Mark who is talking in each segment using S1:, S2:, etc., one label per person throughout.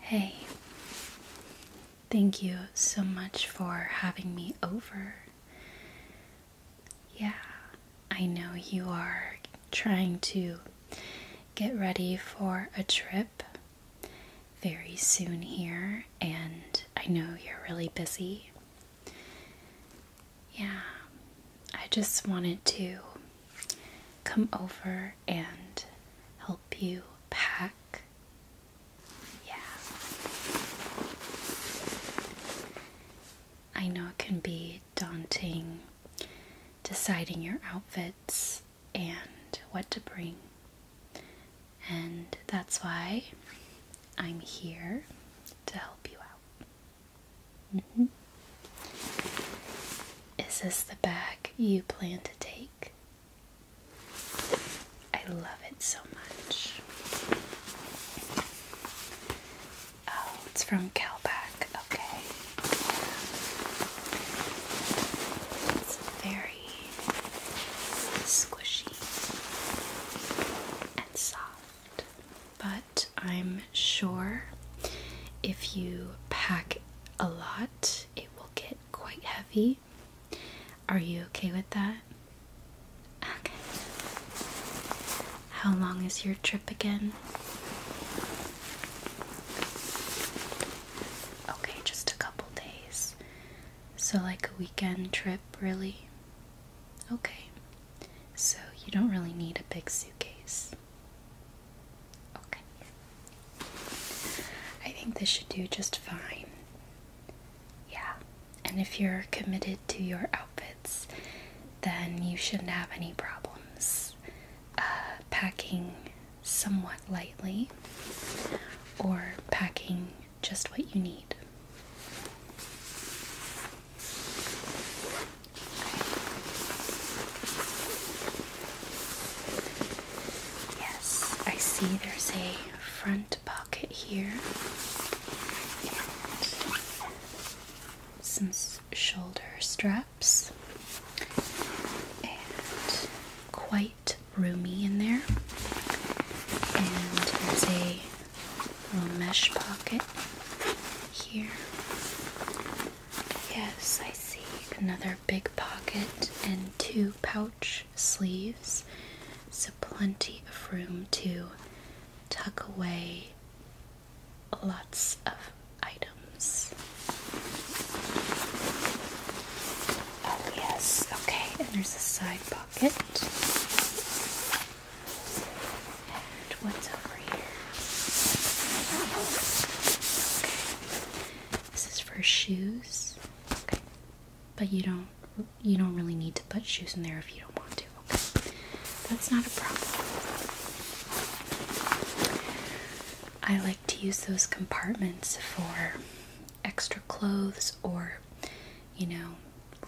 S1: Hey, thank you so much for having me over. Yeah, I know you are trying to get ready for a trip very soon here, and I know you're really busy. Yeah, I just wanted to come over and help you pack. Yeah. I know it can be daunting deciding your outfits and what to bring. And that's why I'm here to help you out. Mm-hmm. Is this the bag you plan to take? I love it so much. Oh, it's from Calback. Okay. It's very squishy and soft. But I'm sure if you pack a lot, it will get quite heavy. Are you okay with that? Okay. How long is your trip again? Okay, just a couple days. So, like a weekend trip, really? Okay. So, you don't really need a big suitcase. Okay. I think this should do just fine. Yeah. And if you're committed to your outfits, then you shouldn't have any problems uh, packing somewhat lightly or packing just what you need. Yes, I see there's a front pocket here some shoulder straps and quite roomy in there. And there's a little mesh pocket here. Yes, I see another big pocket and two pouch sleeves. So plenty of room to tuck away lots of items. Oh, yes. Okay, and there's a side pocket. And what's over here? Okay. This is for shoes. Okay. But you don't you don't really need to put shoes in there if you don't want to. Okay. That's not a problem. I like to use those compartments for extra clothes or, you know,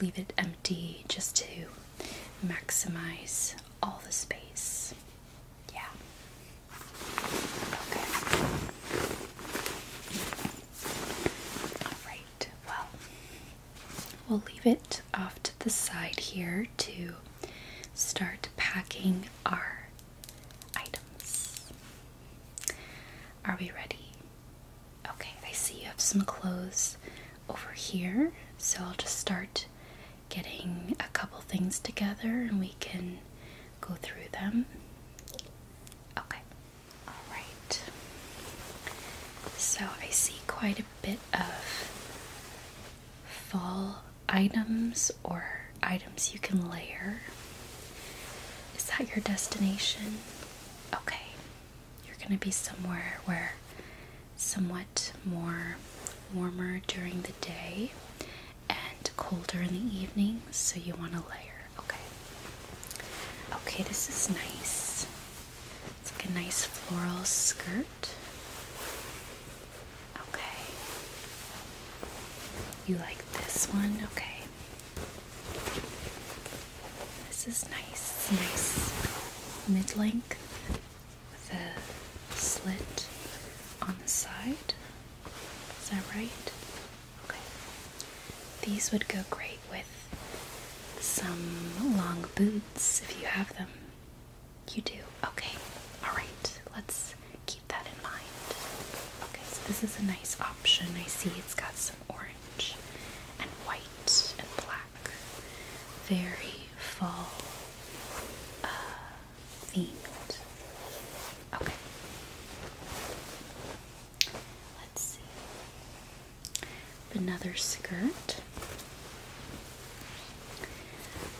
S1: leave it empty just to maximize all the space. Yeah. Okay. Alright, well, we'll leave it off to the side here to start packing our items. Are we ready? Okay, I see you have some clothes over here, so I'll just start getting a couple things together and we can go through them. Okay, alright. So I see quite a bit of fall items or items you can layer. Is that your destination? Okay. You're going to be somewhere where somewhat more warmer during the day and colder in the evening, so you want to layer. Okay. Okay, this is nice. It's like a nice floral skirt. Okay. You like this one? Okay. This is nice, It's nice mid-length with a slit on the side. Is that right? Okay. These would go great with some long boots if you have them. You do. Okay. All right. Let's keep that in mind. Okay, so this is a nice option. I see it's got some orange and white and black. Very fall uh, themed. Okay. Let's see. Another skirt.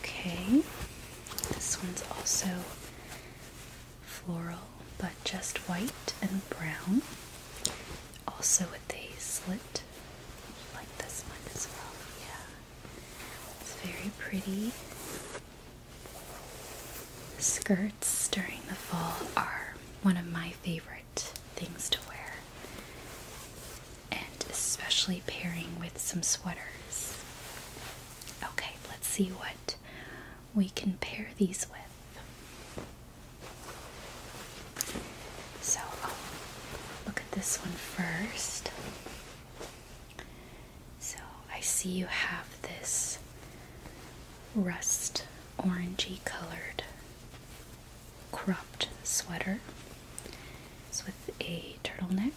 S1: Okay. This one's also floral, but just white and brown. Also with a slit like this one as well. Yeah, it's very pretty. Skirts during the fall are one of my favorite things to wear, and especially pairing with some sweaters. Okay, let's see what we can pair these with. So, I'll um, look at this one first. So, I see you have this rust orangey colored cropped sweater. It's with a turtleneck.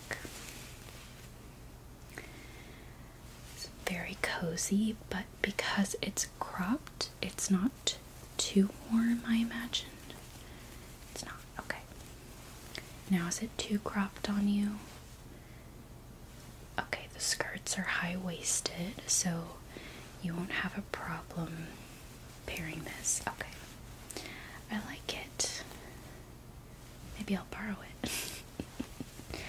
S1: It's very cozy, but because it's cropped, it's not too warm, I imagine. It's not. Okay. Now, is it too cropped on you? Okay, the skirts are high waisted, so you won't have a problem pairing this. Okay. I like it. Maybe I'll borrow it.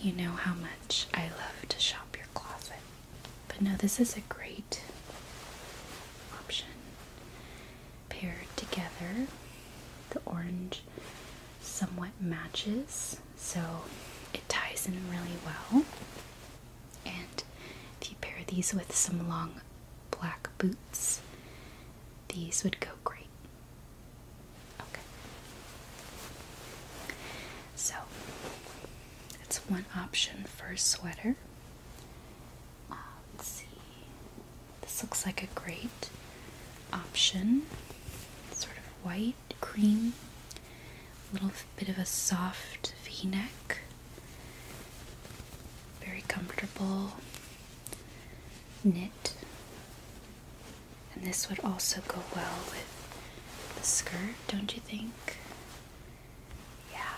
S1: You know how much I love to shop your closet. But no, this is a great option. Paired together, the orange somewhat matches, so it ties in really well. And if you pair these with some long black boots, these would go great. Okay. So that's one option for a sweater. Uh, let's see. This looks like a great option. Sort of white, cream, a little bit of a soft v neck. Very comfortable knit and this would also go well with the skirt, don't you think? Yeah,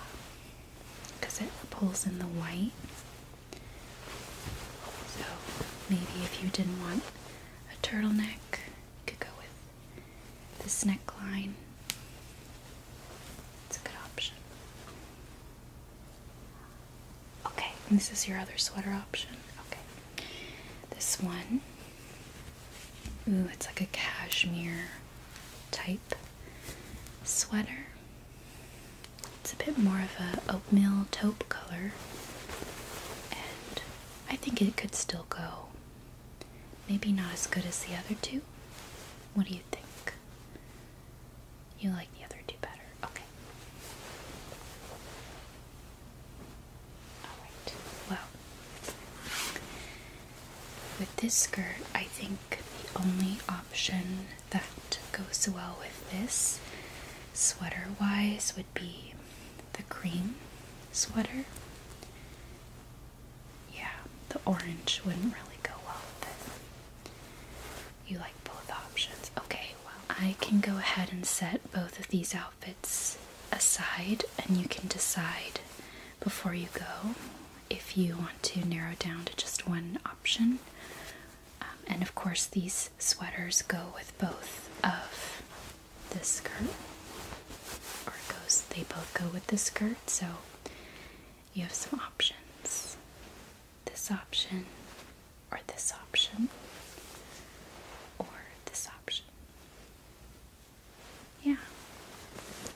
S1: because it pulls in the white. So maybe if you didn't want a turtleneck, you could go with this neckline. It's a good option. Okay, this is your other sweater option. Okay. This one. Ooh, it's like a cashmere type sweater. It's a bit more of a oatmeal taupe color. And I think it could still go. Maybe not as good as the other two. What do you think? You like the other two better. Okay. Alright. Well, with this skirt, I think the only option that goes well with this sweater wise would be the cream sweater. Yeah, the orange wouldn't really go well with it. You like both options. Okay, well, I can go ahead and set both of these outfits aside, and you can decide before you go if you want to narrow down to just one option. Um, and of course, these sweaters go with both of the skirt, or goes, they both go with the skirt, so you have some options. This option, or this option, or this option. Yeah.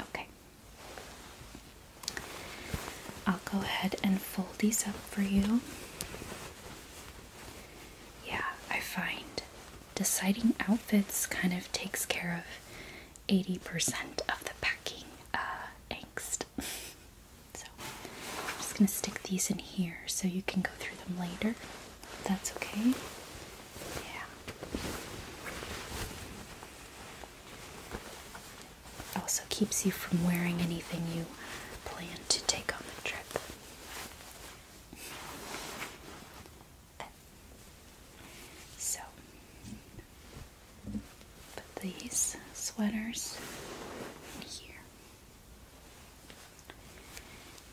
S1: Okay. I'll go ahead and fold these up for you. Yeah, I find deciding outfits kind of takes care of 80% of the packing uh, angst so I'm just going to stick these in here so you can go through them later. If that's okay. Yeah. Also keeps you from wearing anything you plan to take on the trip. So, put these sweaters in here.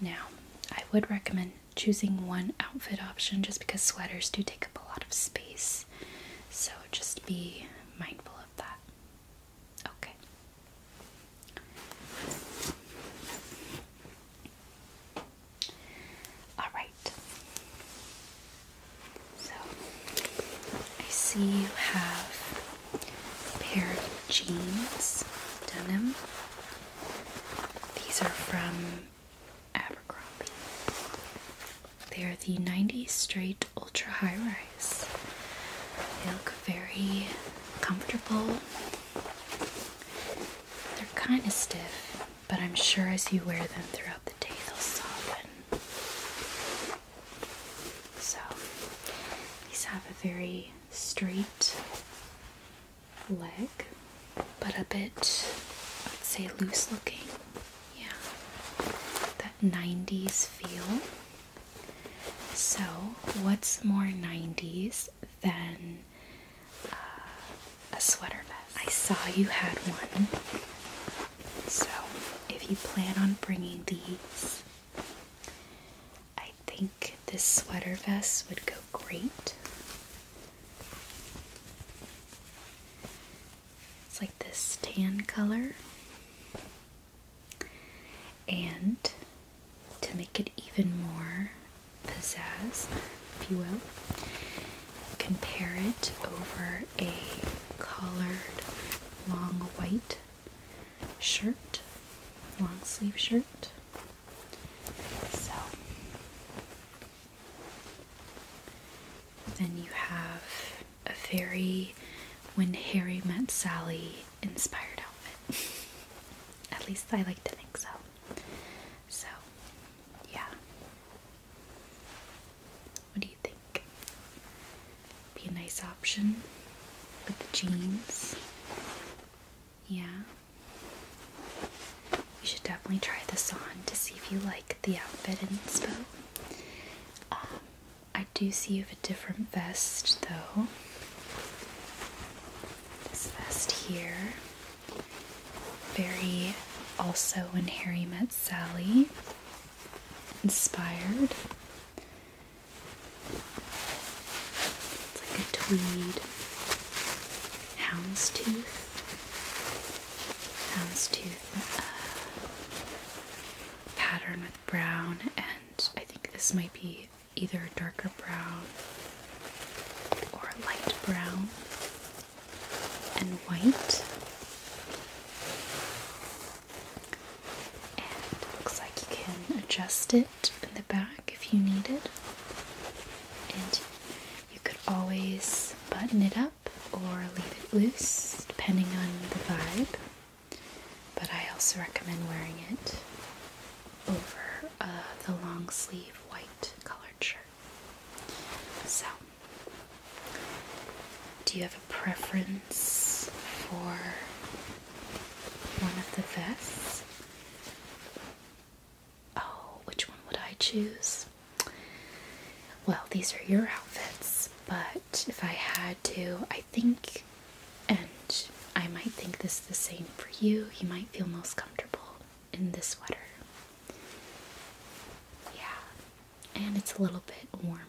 S1: Now, I would recommend choosing one outfit option just because sweaters do take up a lot of space. So just be mindful of that. Okay. All right. So I see you have pair of jeans, denim. These are from Abercrombie. They are the 90 straight ultra high rise. They look very comfortable. They're kind of stiff, but I'm sure as you wear them throughout the day they'll soften. So these have a very straight leg, but a bit, I'd say, loose looking. Yeah, that 90s feel. So, what's more 90s than uh, a sweater vest? I saw you had one. So, if you plan on bringing these I think this sweater vest would go great. It's like this tan color. And to make it even more pizzazz, if you will, compare it over a colored long white shirt, long sleeve shirt. So then you have a very when Harry met Sally inspired outfit. At least I like to think so. So, yeah. What do you think? be a nice option with the jeans. Yeah. You should definitely try this on to see if you like the outfit and inspo. Um, I do see you have a different vest though. This vest here, very also when Harry met Sally, inspired. It's like a tweed houndstooth. Houndstooth uh, pattern with brown, and I think this might be either a darker brown or a light brown and white. And it looks like you can adjust it in the back if you need it. And you could always button it up or leave it loose depending on the vibe. But I also recommend wearing it over uh, the long sleeve white colored shirt. So, do you have a preference for one of the vests. Oh, which one would I choose? Well, these are your outfits, but if I had to, I think, and I might think this is the same for you, you might feel most comfortable in this sweater. Yeah, and it's a little bit warmer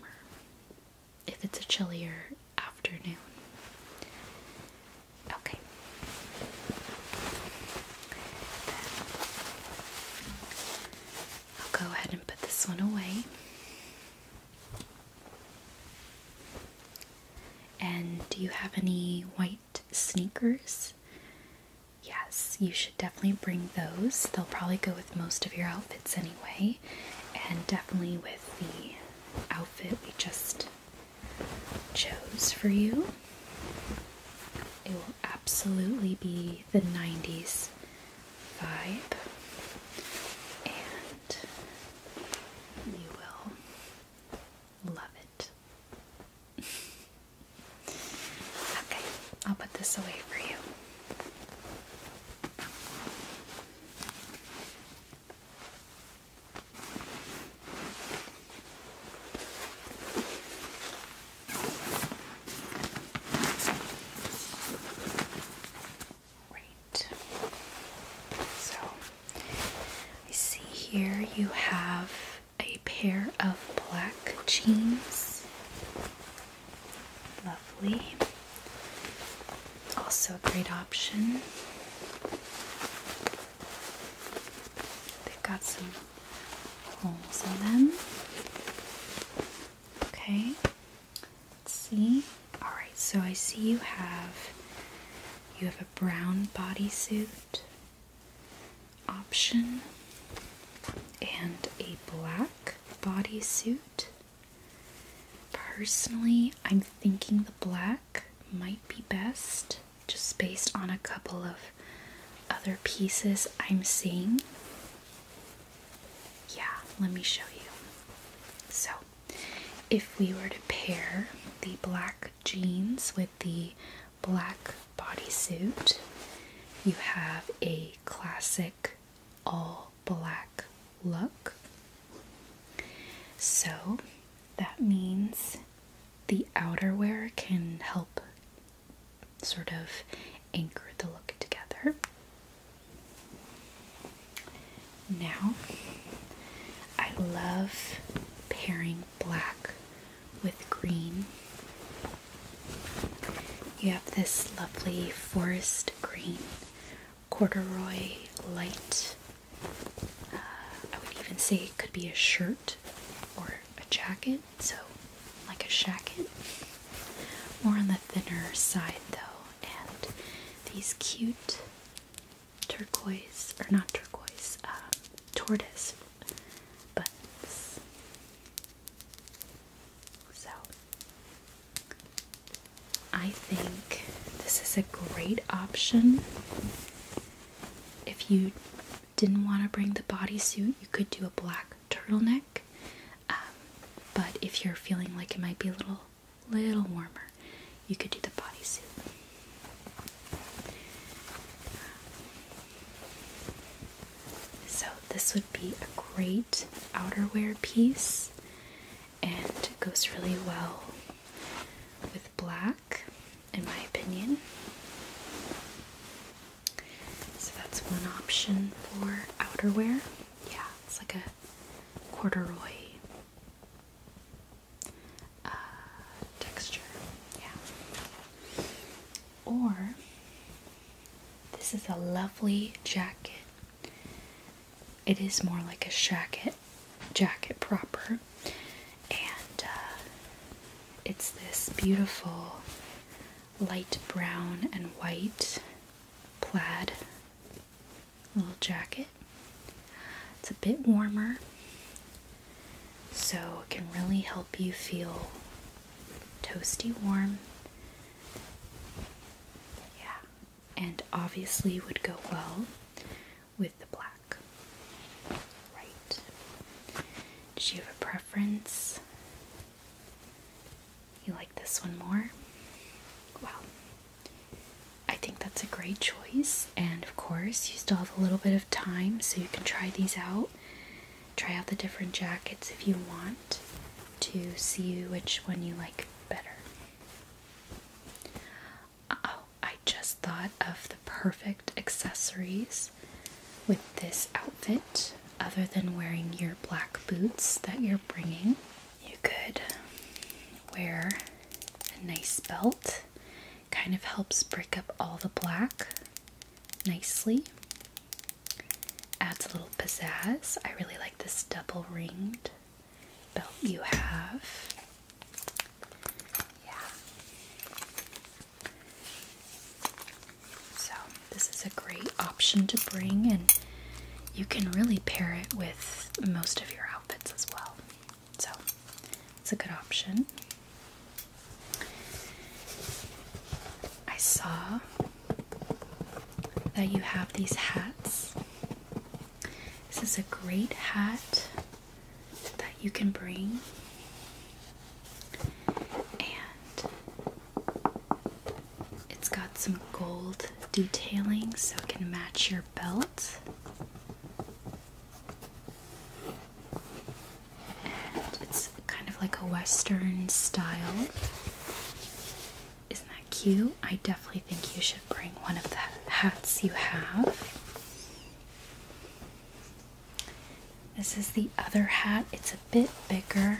S1: if it's a chillier afternoon. Okay. I'll go ahead and put this one away. And do you have any white sneakers? Yes, you should definitely bring those. They'll probably go with most of your outfits anyway and definitely with the outfit we just chose for you. It will absolutely be the 90s vibe, and you will love it. okay, I'll put this away for you. Great. So I see here you have a pair of black jeans Lovely. Also a great option. They've got some holes in them. Okay. Let's see. Alright, so I see you have you have a brown bodysuit option and a black bodysuit Personally, I'm thinking the black might be best just based on a couple of other pieces I'm seeing. Yeah, let me show you. So, if we were to pair the black jeans with the black bodysuit, you have a classic all black look. So that means the outerwear can help sort of anchor the look together. Now, I love pairing black with green. You have this lovely forest green corduroy light. Uh, I would even say it could be a shirt or a jacket, so like a jacket. More on the thinner side though, and these cute turquoise, or not turquoise, uh, tortoise buttons. So I think this is a great option. If you didn't want to bring the bodysuit, you could do a black turtleneck. Um, but if you're feeling like it might be a little, little warmer, you could do the bodysuit. So, this would be a great outerwear piece and it goes really well with black, in my opinion. So that's one option for outerwear. Yeah, it's like a corduroy uh, texture. Yeah. Or this is a lovely jacket it is more like a jacket, jacket proper, and uh, it's this beautiful light brown and white plaid little jacket. It's a bit warmer, so it can really help you feel toasty warm. Yeah, and obviously would go well with the black. Right. Did you have a preference? You like this one more? Well, I think that's a great choice. And of course, you still have a little bit of time so you can try these out. Try out the different jackets if you want to see which one you like better. Oh, I just thought of the perfect accessories with this outfit, other than wearing your black boots that you're bringing. You could wear a nice belt, kind of helps break up all the black nicely. Adds a little pizzazz. I really like this double ringed belt you have. Yeah. So, this is a great option to bring, and you can really pair it with most of your outfits as well. So, it's a good option. I saw that you have these hats. This is a great hat that you can bring. And it's got some gold detailing so it can match your belt. And it's kind of like a western style. Isn't that cute? I definitely think you should bring one of the hats you have. This is the other hat. It's a bit bigger.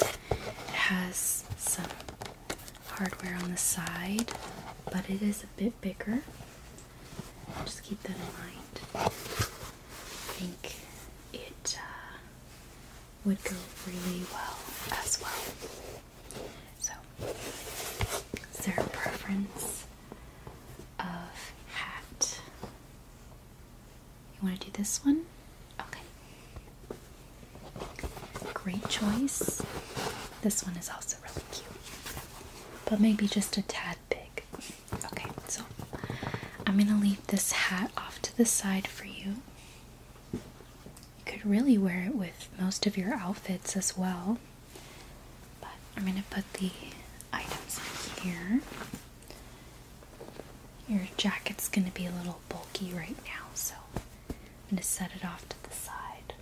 S1: It has some hardware on the side, but it is a bit bigger. Just keep that in mind. I think it uh, would go really well as well. So, is there a preference of hat? You want to do this one? Okay. Great choice. This one is also really cute, but maybe just a tad big. Okay, so I'm going to leave this hat off to the side for you. You could really wear it with most of your outfits as well. But I'm going to put the items in here. Your jacket's going to be a little bulky right now, so I'm going to set it off to the side.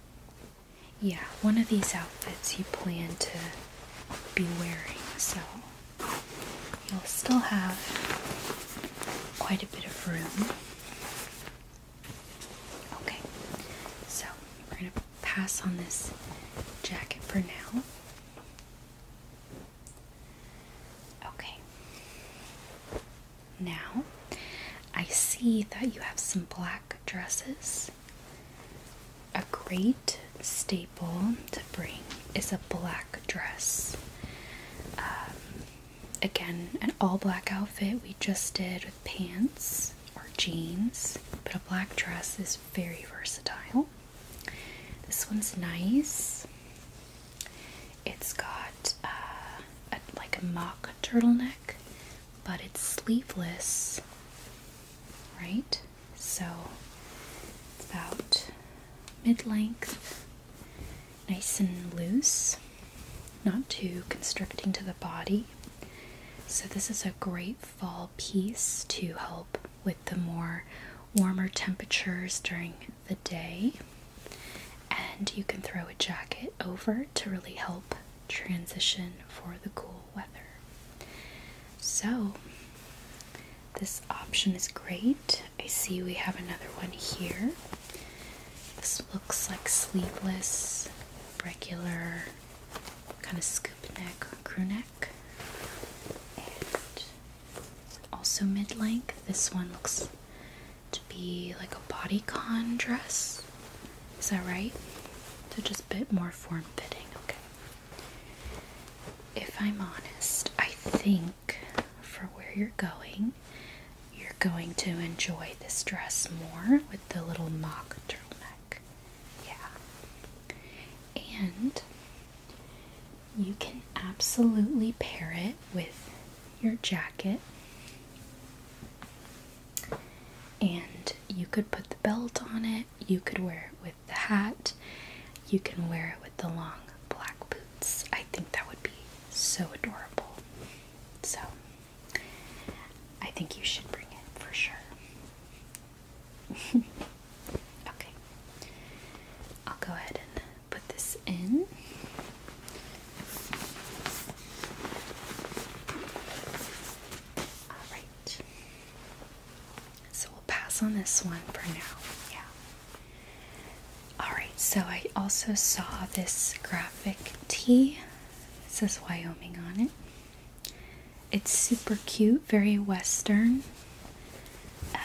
S1: Yeah, one of these outfits you plan to be wearing, so you'll still have quite a bit of room. Okay, so we're going to pass on this jacket for now. Okay, now I see that you have some black dresses. A great staple to bring is a black dress. Um, again, an all black outfit we just did with pants or jeans, but a black dress is very versatile. This one's nice. It's got uh, like a mock turtleneck, but it's sleeveless, right? So it's about mid length nice and loose, not too constricting to the body. So, this is a great fall piece to help with the more warmer temperatures during the day. And you can throw a jacket over to really help transition for the cool weather. So, this option is great I see we have another one here. This looks like sleepless, regular, kind of scoop neck crew neck. And also mid length. This one looks to be like a bodycon dress. Is that right? So just a bit more form fitting, okay. If I'm honest, I think for where you're going, you're going to enjoy this dress more with the little mock turtleneck. Yeah. And you can absolutely pair it with your jacket. And you could put the belt on it, you could wear it with the hat, you can wear it with the long black boots. I think that would be so adorable. So, I think you should bring it for sure. okay. I'll go ahead and put this in. Alright. So we'll pass on this one for now. Yeah. Alright, so I also saw this graphic tee. It says Wyoming on it. It's super cute, very western. Uh,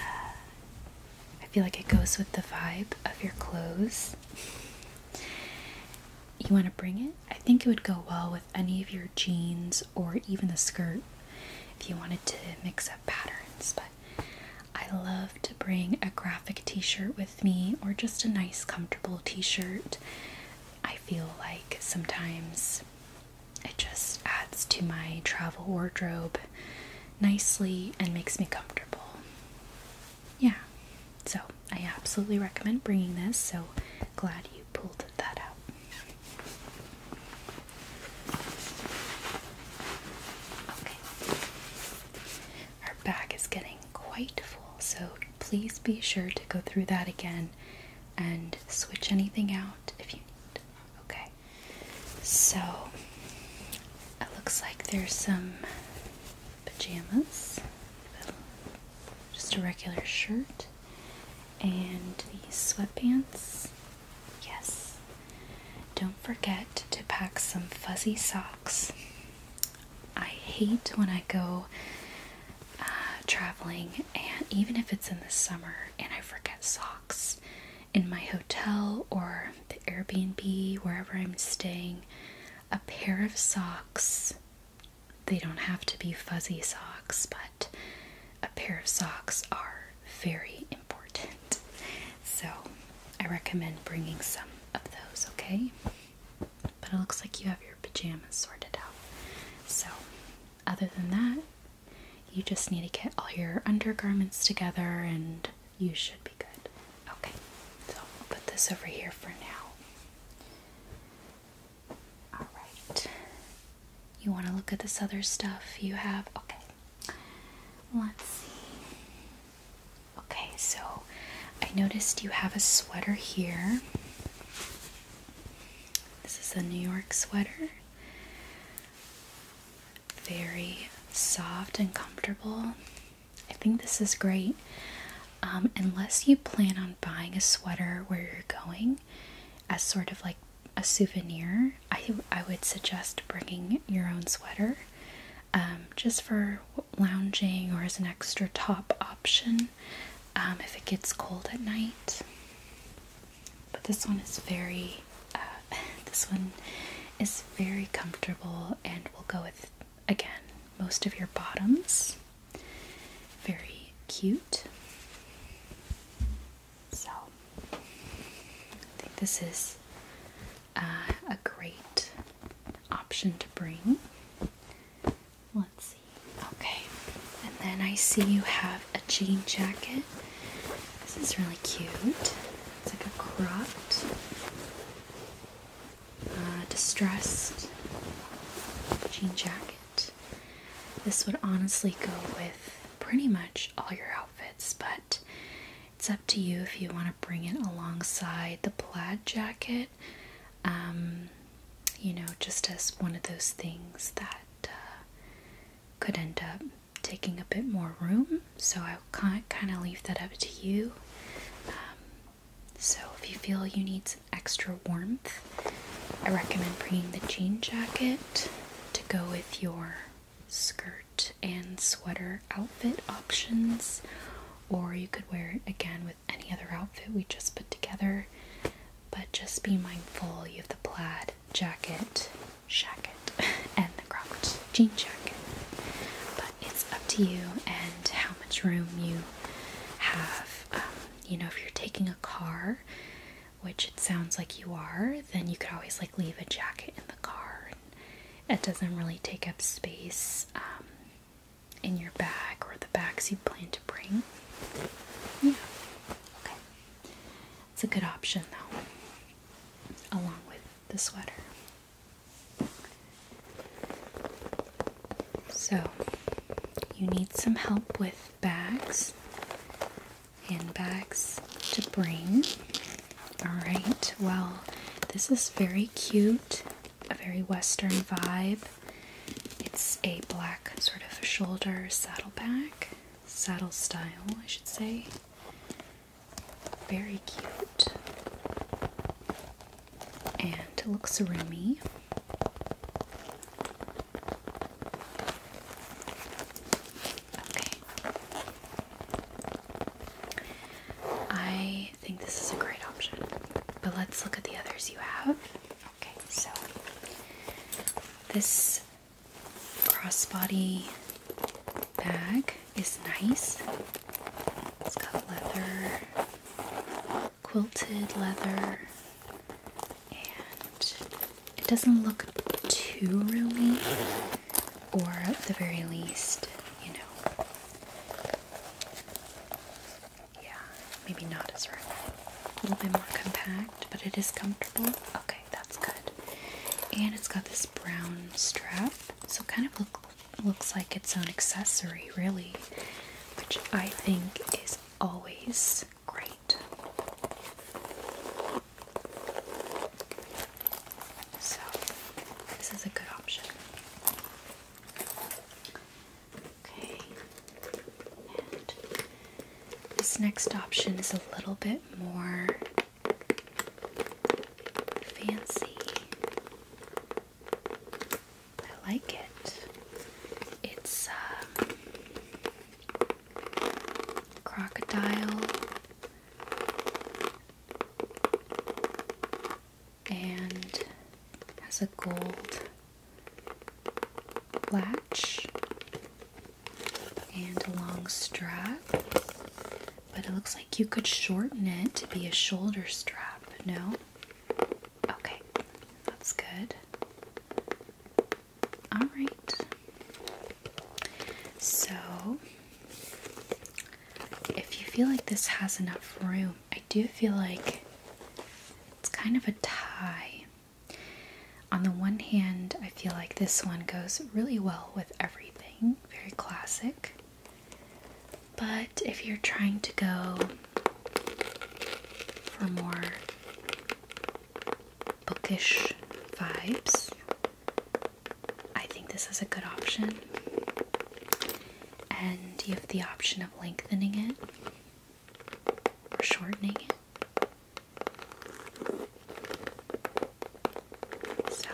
S1: I feel like it goes with the vibe of your clothes. You want to bring it? I think it would go well with any of your jeans or even the skirt if you wanted to mix up patterns, but I love to bring a graphic t shirt with me or just a nice, comfortable t shirt. I feel like sometimes it just adds to my travel wardrobe nicely and makes me comfortable. Yeah, so I absolutely recommend bringing this, so glad you pulled that out. Okay, our bag is getting quite full, so please be sure to go through that again and switch anything out if you need. Okay, so it looks like there's some pajamas, just a regular shirt, and these sweatpants. Yes, don't forget to pack some fuzzy socks. I hate when I go uh, traveling, and even if it's in the summer, and I forget socks in my hotel or the Airbnb, wherever I'm staying, a pair of socks. They don't have to be fuzzy socks, but a pair of socks are very important. So I recommend bringing some of those, okay? But it looks like you have your pajamas sorted out. So, other than that, you just need to get all your undergarments together and you should be good. Okay, so I'll put this over here for now. Alright, you want to look at this other stuff you have? Okay, Let's see. Okay, so I noticed you have a sweater here. This is a New York sweater. Very soft and comfortable. I think this is great. Um, unless you plan on buying a sweater where you're going as sort of like a souvenir, I, I would suggest bringing your own sweater. Um, just for lounging or as an extra top option um, if it gets cold at night. But this one is very, uh, this one is very comfortable and will go with, again, most of your bottoms. Very cute. So, I think this is uh, a great option to bring. Let's see. Okay, and then I see you have a jean jacket. This is really cute. It's like a cropped, uh, distressed jean jacket. This would honestly go with pretty much all your outfits, but it's up to you if you want to bring it alongside the plaid jacket, um, you know, just as one of those things that uh, could end up taking a bit more room. So I kind of leave that up to you. Um, so if you feel you need some extra warmth, I recommend bringing the jean jacket to go with your skirt and sweater outfit options, or you could wear it again with any other outfit we just put together. But just be mindful you have the plaid jacket, shacket, and the cropped jean jacket. But it's up to you and how much room you have. Um, you know, if you're taking a car, which it sounds like you are, then you could always like leave a jacket in the car it doesn't really take up space um, in your bag or the bags you plan to bring. Yeah, okay. It's a good option though, along with the sweater. So, you need some help with bags, and bags to bring. Alright, well, this is very cute, a very western vibe. It's a black sort of shoulder saddleback, saddle style, I should say. Very cute. And looks roomy. Okay. I think this is a great option. But let's look at the others you have. Okay, so this crossbody bag is nice. It's got leather, quilted leather, and it doesn't look too roomy or at the very least, you know, yeah, maybe not as rough. A little bit more compact, but it is comfortable. Okay, that's good. And it's got this brown strap, so it kind of look, looks like its own accessory, really, which I think is always great. So, this is a good option. Okay, this next option is a little bit more fancy. I like it. It's a um, crocodile and has a gold latch and a long strap. But it looks like you could shorten it to be a shoulder strap, no? Okay, that's good. Alright. So if you feel like this has enough room, I do feel like it's kind of a tie. On the one hand, I feel like this one goes really well with everything, very classic. But if you're trying to go for more bookish vibes, I think this is a good option. And you have the option of lengthening it or shortening it. So,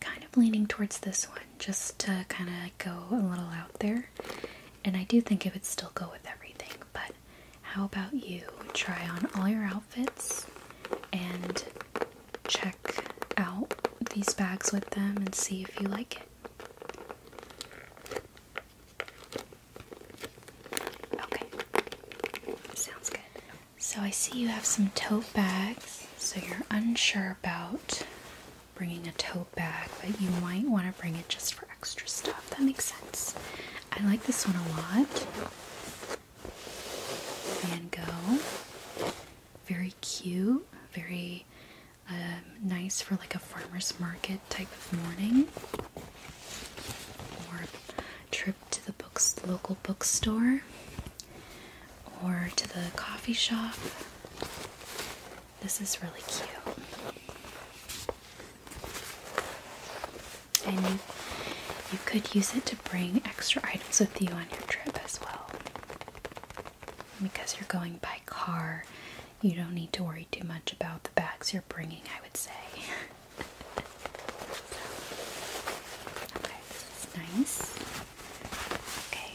S1: kind of leaning towards this one just to kind of go a little out there. And I do think it would still go with everything, but how about you try on all your outfits and check out these bags with them and see if you like it. Okay, sounds good. So I see you have some tote bags, so you're unsure about bringing a tote bag, but you might want to bring it just for extra stuff. That makes sense. I like this one a lot. Van Gogh. Very cute, very um, nice for like a farmer's market type of morning or trip to the local bookstore or to the coffee shop. This is really cute you could use it to bring extra items with you on your trip as well. Because you're going by car, you don't need to worry too much about the bags you're bringing, I would say. okay, this is nice. Okay,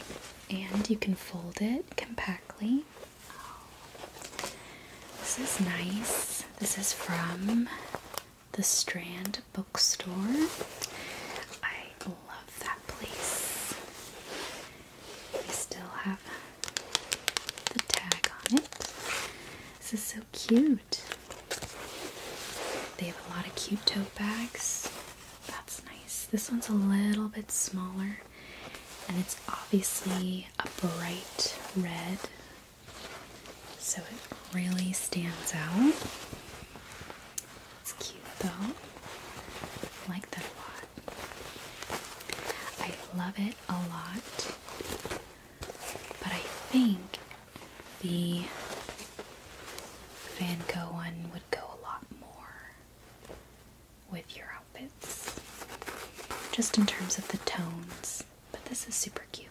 S1: and you can fold it compactly. This is nice. This is from the Strand Bookstore. I love that place. We still have the tag on it. This is so cute. They have a lot of cute tote bags. That's nice. This one's a little bit smaller and it's obviously a bright red so it really stands out. It's cute though. I like that a lot. I love it a lot. But I think the Van Gogh one would go a lot more with your outfits. Just in terms of the tones. But this is super cute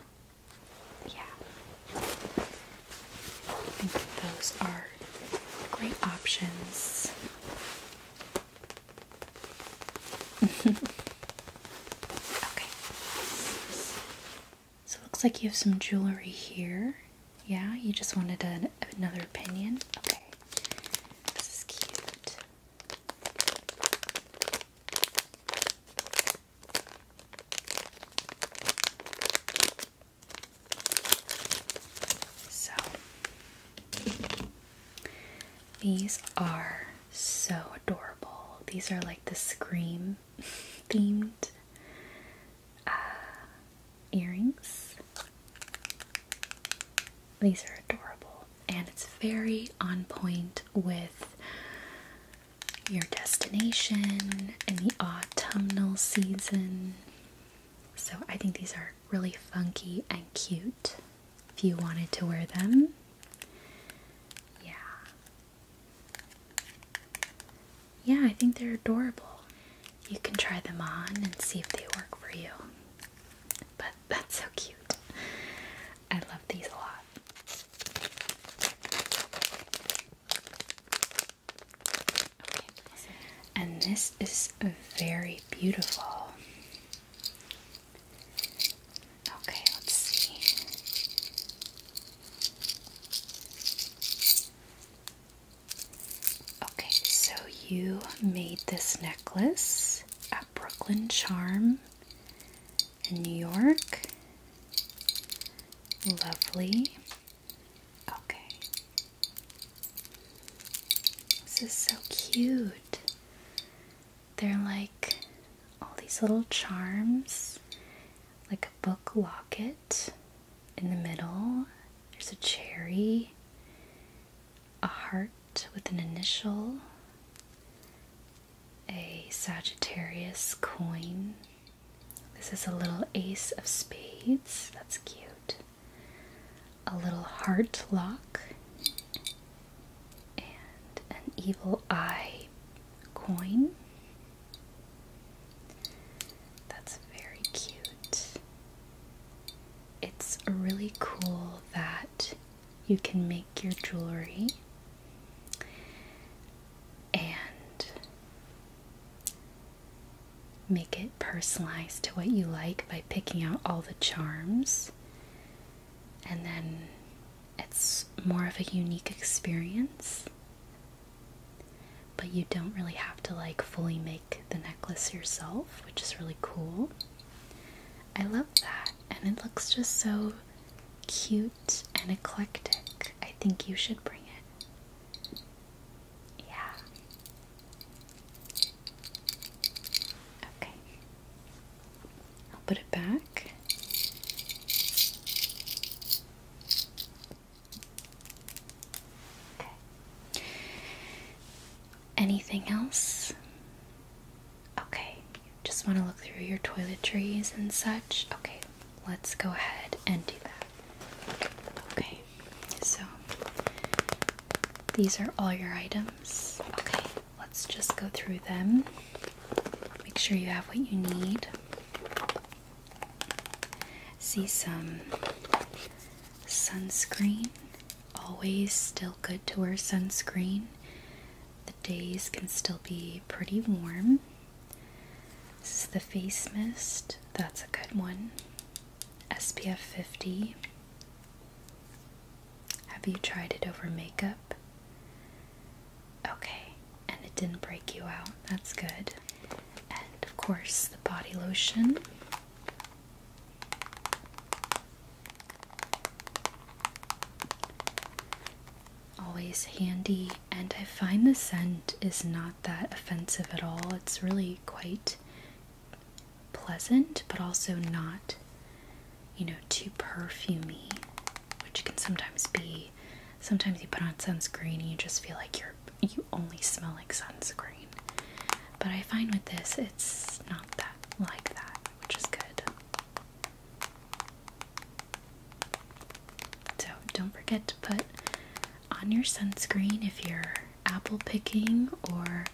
S1: yeah, I think those are great options. okay. So it looks like you have some jewelry here. Yeah, you just wanted an, another opinion. Okay. This is cute. So, these are so adorable. These are like the Scream themed uh, earrings. These are adorable, and it's very on point with your destination and the autumnal season. So I think these are really funky and cute if you wanted to wear them. Yeah. Yeah, I think they're adorable. You can try them on and see if they work for you. But that's so cute. I love these a lot. And this is very beautiful. Okay, let's see. Okay, so you made this necklace at Brooklyn Charm in New York. Lovely. Okay. This is so cute. They're like all these little charms, like a book locket in the middle. There's a cherry, a heart with an initial, a Sagittarius coin. This is a little ace of spades. That's cute. A little heart lock. And an evil eye coin. That's very cute. It's really cool that you can make your jewelry and make it personalized to what you like by picking out all the charms. And then it's more of a unique experience. But you don't really have to like fully make the necklace yourself, which is really cool. I love that, and it looks just so cute and eclectic. I think you should bring it. Yeah. Okay. I'll put it back. Okay. Anything else? Okay. Just want to look through your toiletries and such. Okay, let's go ahead and do that. Okay, so these are all your items. Okay, let's just go through them. Make sure you have what you need. See some sunscreen. Always still good to wear sunscreen. The days can still be pretty warm. This is the face mist. That's a good one. SPF 50. Have you tried it over makeup? Okay, and it didn't break you out. That's good. And of course, the body lotion. Always handy and I find the scent is not that offensive at all. It's really quite pleasant, but also not, you know, too perfumy, which can sometimes be. Sometimes you put on sunscreen and you just feel like you're you only smell like sunscreen. But I find with this, it's not that like that, which is good. So don't forget to put on your sunscreen if you're apple picking or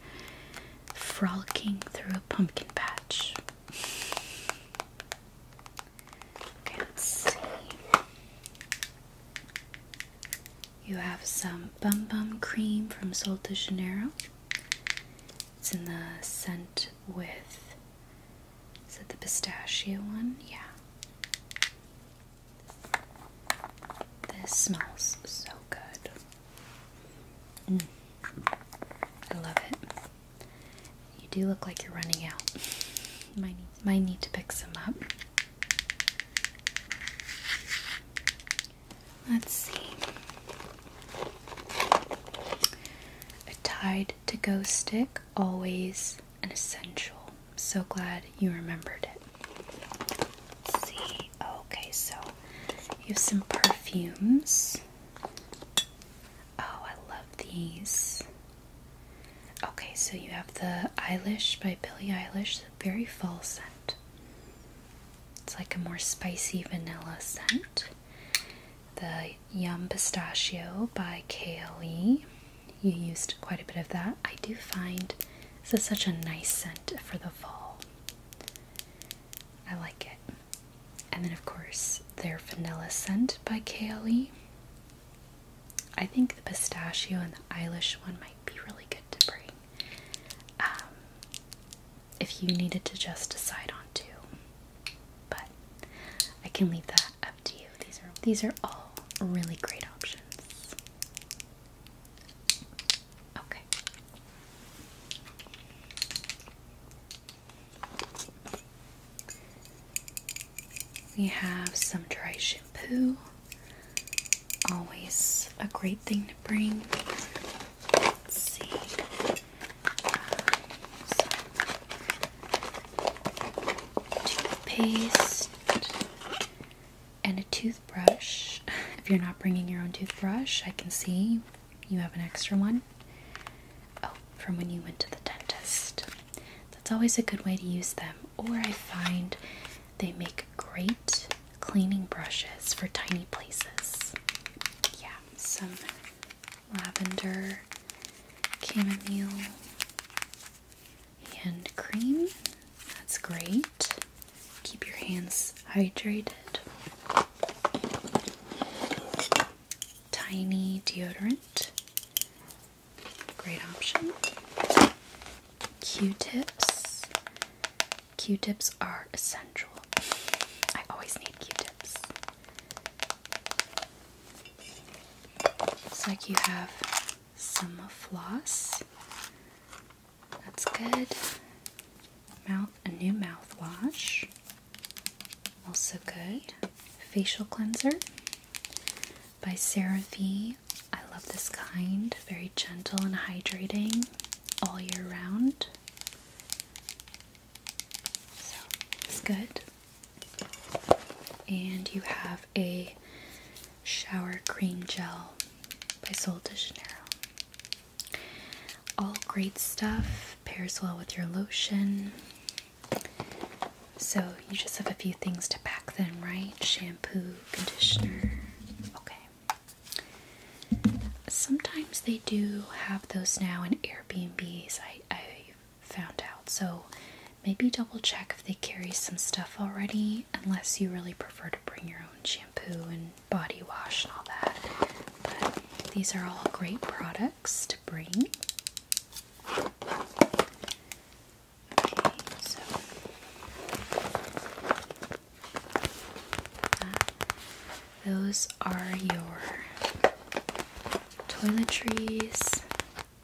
S1: frolicking through a pumpkin patch. Okay, let's see. You have some Bum Bum Cream from Sol de Janeiro. It's in the scent with is it the pistachio one? Yeah. This smells so good. Mm. I love it. You do look like you're running out. Might need, might need to pick some up. Let's see. A tied to go stick always an essential. So glad you remembered it. see. Okay, so you have some perfumes. Oh, I love these. Okay, so you have the Eilish by Billie Eilish, very fall scent. It's like a more spicy vanilla scent the Yum Pistachio by KLE. You used quite a bit of that. I do find this is such a nice scent for the fall. I like it. And then, of course, their Vanilla Scent by KLE. I think the pistachio and the Eilish one might be really good to bring um, if you needed to just decide on two. But I can leave that up to you. These are these are all really great options. Okay. We have some dry shampoo. Always a great thing to bring. Let's see. Uh, toothpaste, and a toothbrush. If you're not bringing your own toothbrush, I can see you have an extra one. Oh, from when you went to the dentist. That's always a good way to use them. Or I find they make great cleaning brushes for tiny places. Yeah, some lavender chamomile hand cream. That's great. Keep your hands hydrated. Tiny deodorant. Great option. Q-tips. Q-tips are essential. I always need Q-tips. Looks like you have some floss. That's good. Mouth, a new mouthwash. Also good. Facial cleanser by CeraVe. I love this kind. Very gentle and hydrating all year round. So it's good. And you have a shower cream gel by Sol de Janeiro. All great stuff, pairs well with your lotion. So you just have a few things to pack then, right? Shampoo, conditioner. Okay. Sometimes they do have those now in Airbnbs. I, found out. So maybe double check if they carry some stuff already, unless you really prefer to bring your own shampoo and body wash and all that. But these are all great products to bring. Okay, so those are your toiletries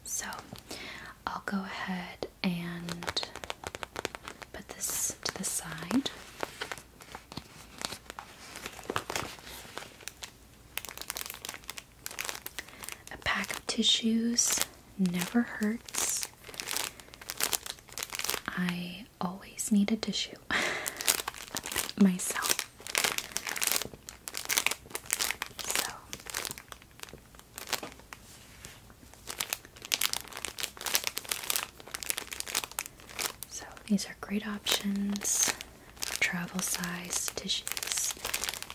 S1: so I'll go ahead and put this to the side. A pack of tissues never hurts. I always need a tissue myself. So these are great options travel size tissues.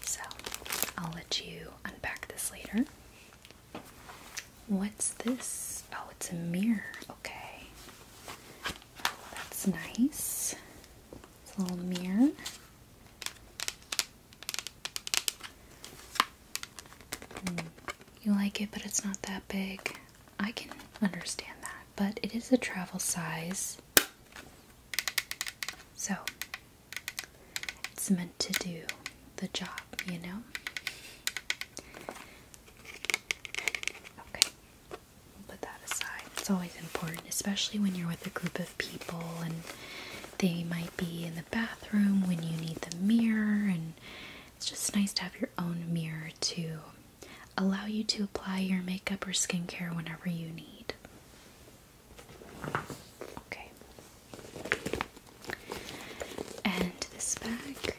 S1: So I'll let you unpack this later. What's this? Oh, it's a mirror. Okay. Oh, that's nice. It's a little mirror. Hmm. you like it, but it's not that big. I can understand that, but it is a travel size. So, it's meant to do the job, you know? Okay put that aside. It's always important, especially when you're with a group of people and they might be in the bathroom when you need the mirror. And it's just nice to have your own mirror to allow you to apply your makeup or skincare whenever you need. Okay. And this bag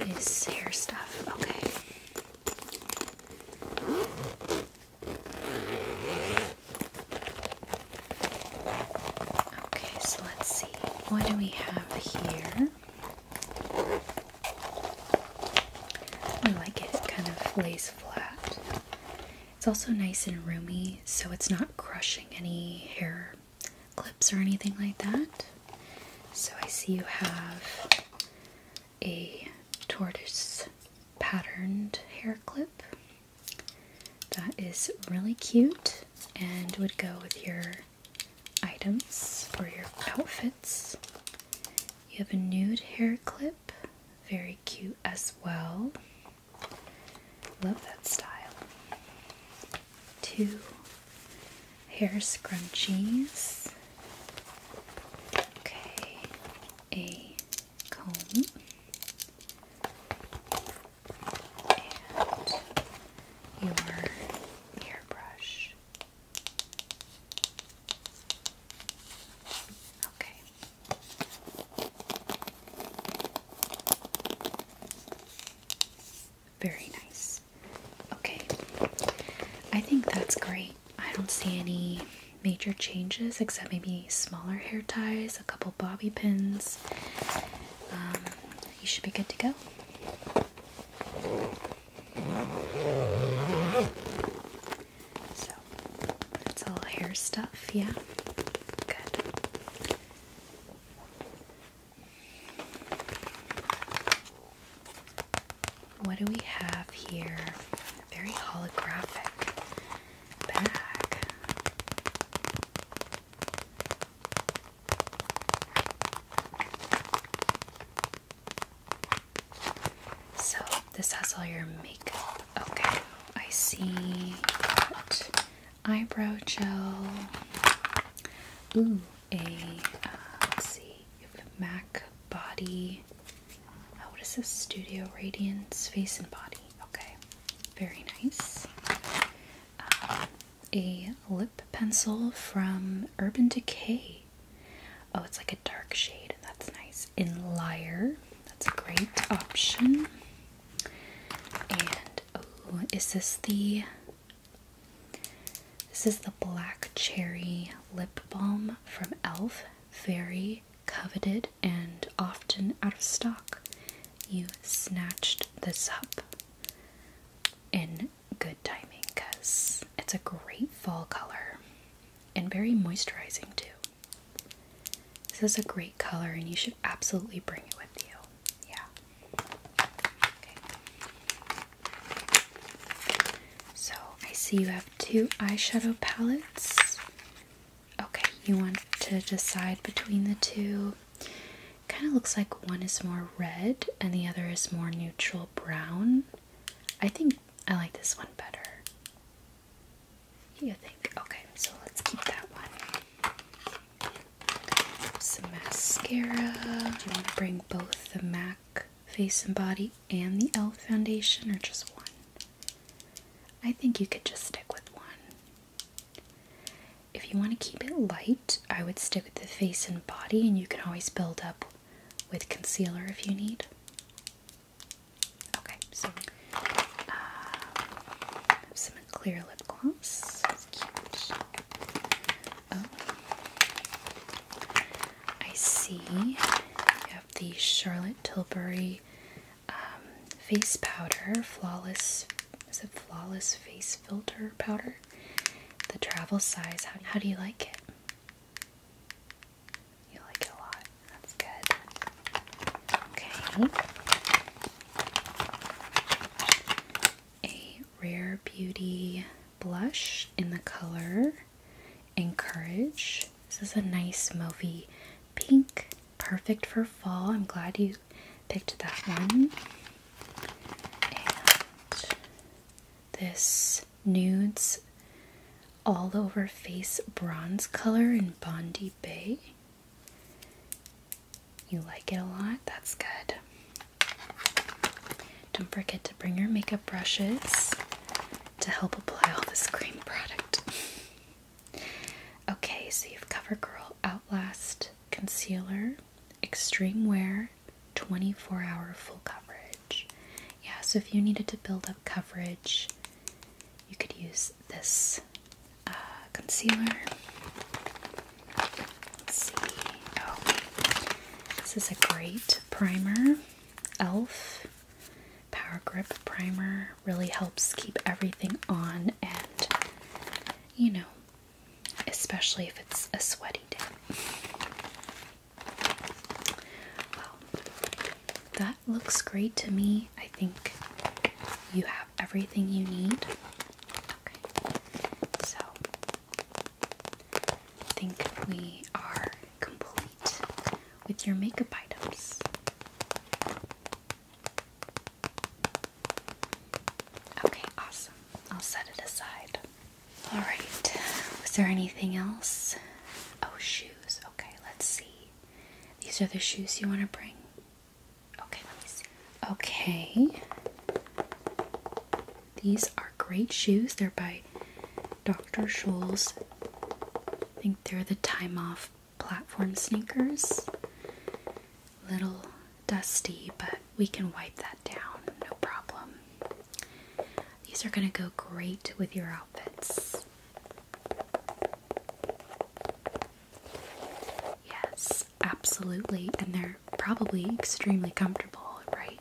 S1: is hair stuff. Okay. Okay, so let's see. What do we have here? I like it. It kind of lays flat. It's also nice and roomy, so it's not crushing any hair clips or anything like that. So I see you have a tortoise patterned hair clip that is really cute and would go with your items or your outfits. You have a nude hair clip, very cute as well. Love that style. Two hair scrunchies, okay, a comb, and your hairbrush. Okay. Very nice. Okay. I think that's great. I don't see any major changes except maybe smaller hair ties, a couple bobby pins. Um, you should be good to go. So, that's all hair stuff, yeah? Good. What do we have here? very holographic bag. So, this has all your makeup. Okay, I see. Eyebrow gel. Ooh, a uh, let's see, MAC body. Oh, what is this? Studio Radiance face and body. Okay, very nice. Uh, a lip pencil from Urban Decay. Oh, it's like a dark shade. That's nice. In Liar. That's a great option. And oh, is this the this is the Black Cherry Lip Balm from e.l.f. Very coveted and often out of stock. You snatched this up in good timing because it's a great fall color and very moisturizing too. This is a great color and you should absolutely bring it with you. Yeah. So I see you have two eyeshadow palettes. Okay, you want to decide between the two. Kind of looks like one is more red and the other is more neutral brown. I think I like this one better. You think? Okay, so let's keep that one. Some mascara. Do you want to bring both the MAC Face and Body and the e.l.f. foundation, are just one? I think you could just stick with one. If you want to keep it light, I would stick with the face and body, and you can always build up with concealer if you need. Okay, so uh, some clear lip gloss. Oh. I see. You have the Charlotte Tilbury um, face powder, flawless. Is it flawless face filter powder? The travel size. How, how do you like it? You like it a lot. That's good. Okay a Rare Beauty blush in the color Encourage. This is a nice mauvey pink, perfect for fall. I'm glad you picked that one. And this Nudes All Over Face Bronze color in Bondi Bay. You like it a lot? That's good. Don't forget to bring your makeup brushes to help apply all this cream product. okay, so you've CoverGirl Outlast Concealer, Extreme Wear, 24 hour full coverage. Yeah, so if you needed to build up coverage, you could use this uh, concealer. Oh. this is a great primer. Elf Power Grip Primer really helps keep everything on, and you know, especially if it's a sweaty day. Well, that looks great to me. I think you have everything you need. Okay, so I think we are complete with your makeup items. Okay, awesome. I'll set it aside. Alright, was there anything else? Oh, shoes. Okay, let's see. These are the shoes you want to bring. Okay, let me see. Okay. These are great shoes. They're by Dr. Scholl's. I think they're the Time Off platform sneakers. Little dusty, but we can wipe that down, no problem. These are going to go great with your outfits. Yes, absolutely. And they're probably extremely comfortable, right?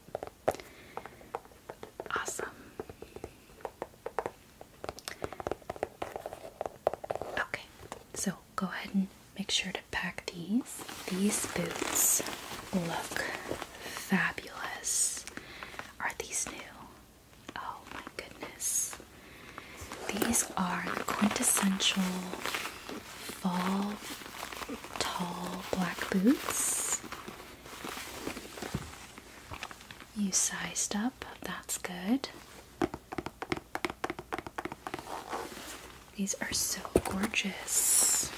S1: Awesome. Okay, so go ahead and make sure to pack these. These boots look fabulous. Are these new? Oh my goodness. These are the quintessential fall tall black boots. You sized up, that's good. These are so gorgeous.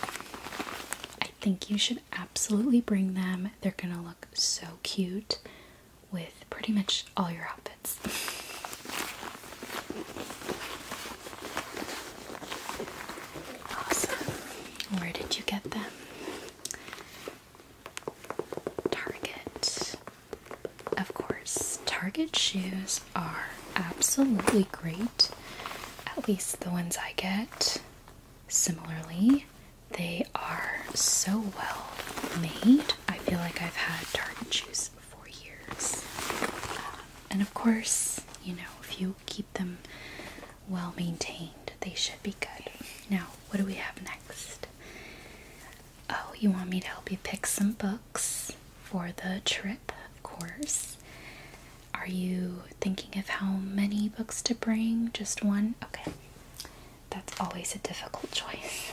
S1: I think you should absolutely bring them. They're gonna look so cute with pretty much all your outfits. Awesome. Where did you get them? Target. Of course, Target shoes are absolutely great. At least the ones I get. Similarly, they are so well made. I feel like I've had Target shoes for years. And of course, you know, if you keep them well maintained, they should be good. Now, what do we have next? Oh, you want me to help you pick some books for the trip, of course. Are you thinking of how many books to bring? Just one? Okay. That's always a difficult choice.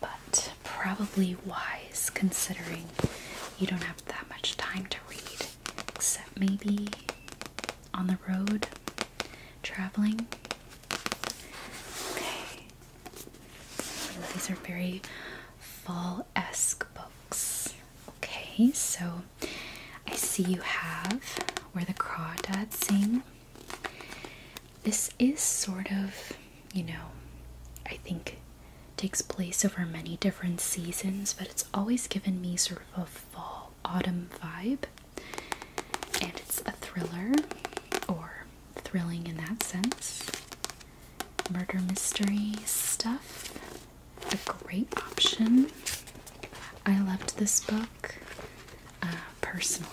S1: But probably wise considering you don't have that much time to read, except maybe on the road traveling. Okay. These are very fall esque books. Okay, so I see you have Where the Crawdads Sing. This is sort of you know, I think takes place over many different seasons, but it's always given me sort of a fall autumn vibe. And it's a thriller, or thrilling in that sense. Murder mystery stuff. A great option. I loved this book uh, personally.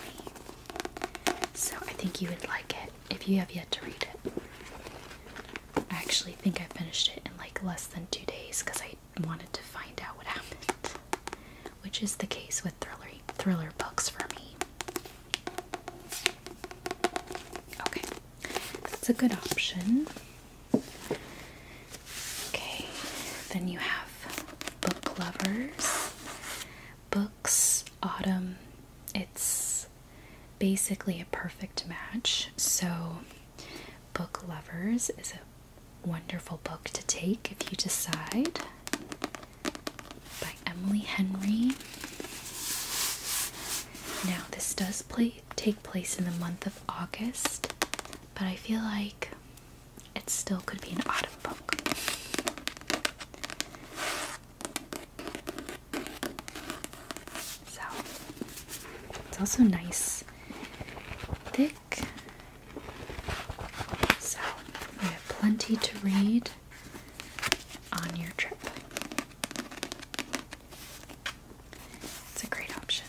S1: So I think you would like it if you have yet to read it. I actually think I finished it in like less than two days because I wanted to find out what happened, which is the case with thriller thriller books for me. Okay, that's a good option. Okay, then you have book lovers, books, autumn. It's basically a perfect match. So, Book Lovers is a wonderful book to take if you decide by Emily Henry. Now, this does play, take place in the month of August, but I feel like it still could be an autumn book. So it's also nice, thick. So you have plenty to read on your trip. It's a great option.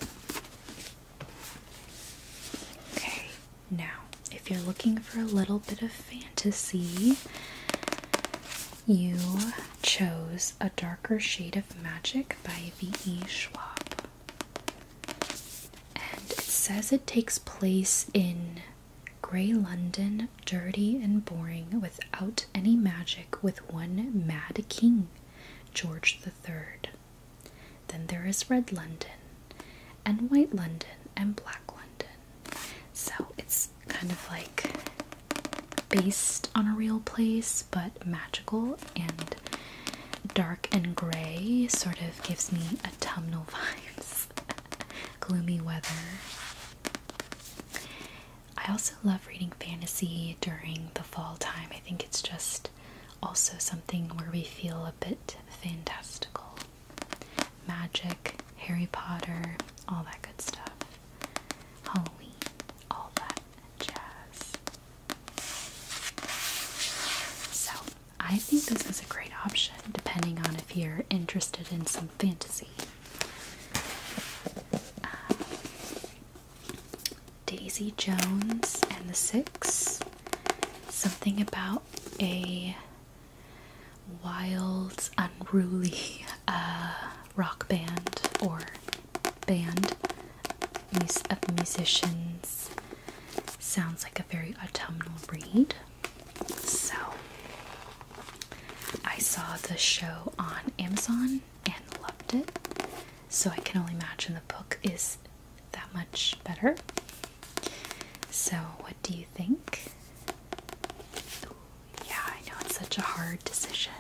S1: Okay, now if you're looking for a little bit of fantasy, you chose A Darker Shade of Magic by V.E. Schwab. And it says it takes place in grey London, dirty and boring, without any magic, with one mad king, George the Third. Then there is Red London, and White London, and Black London. So it's kind of like based on a real place but magical and dark and gray, sort of gives me autumnal vibes, gloomy weather. I also love reading fantasy during the fall time. I think it's just also something where we feel a bit fantastical. Magic, Harry Potter, all that good stuff. Halloween, all that and jazz. So, I think this is a great option depending on if you're interested in some fantasy. Um, Daisy Jones and the Six. Something about a wild, unruly uh, rock band or band of uh, musicians. Sounds like a very autumnal read. So I saw the show on Amazon and loved it. So I can only imagine the book is that much better. So what do you think? Yeah, I know it's such a hard decision.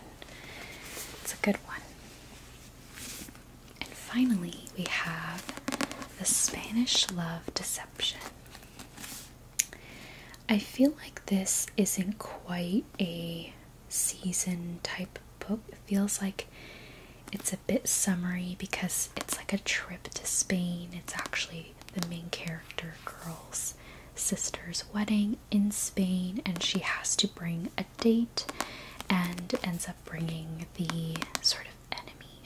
S1: It's a good one. And finally, we have the Spanish Love Deception. I feel like this isn't quite a season type book. It feels like it's a bit summery because it's like a trip to Spain. It's actually the main character girl's sister's wedding in Spain and she has to bring a date and ends up bringing the sort of enemy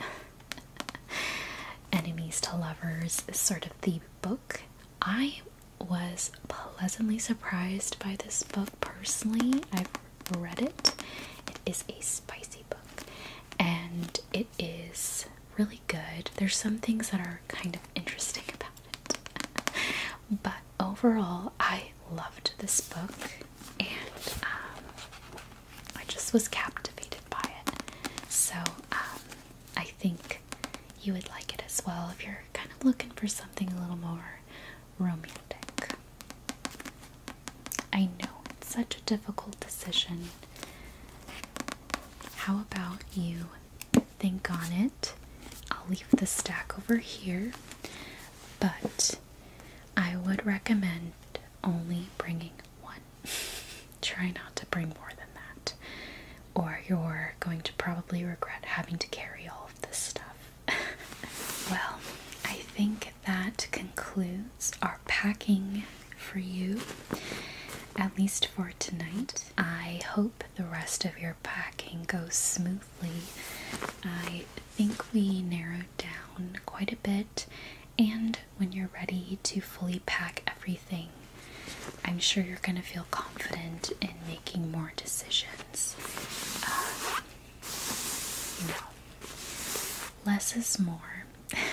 S1: enemies to lovers sort of the book. I was pleasantly surprised by this book personally. I've read it. It is a spicy book and it is really good. There's some things that are kind of interesting about it. but overall, I loved this book and um, I just was captivated by it. So um, I think you would like it as well if you're kind of looking for something a little more romantic. I know it's such a difficult decision. How about you think on it. I'll leave the stack over here, but I would recommend only bringing one. Try not to bring more than that, or you're going to probably regret having to carry all of this stuff. well, I think that concludes our packing for you, at least for tonight. I hope the rest of your packing goes smoothly. I think we narrowed down quite a bit, and when you're ready to fully pack everything, I'm sure you're going to feel confident in making more decisions. Uh, you know, less is more.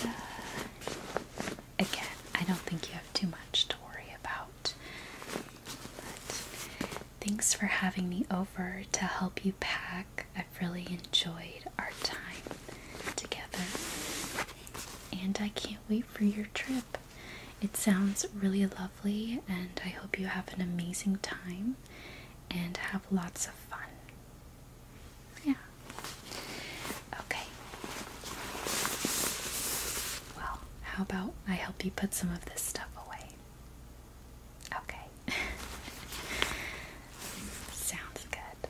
S1: Uh, again, I don't think you have too much to worry about. thanks for having me over to help you pack. I've really enjoyed our time together. And I can't wait for your trip. It sounds really lovely, and I hope you have an amazing time and have lots of fun. Yeah. Okay. Well, how about I help you put some of this stuff away? Okay. Sounds good.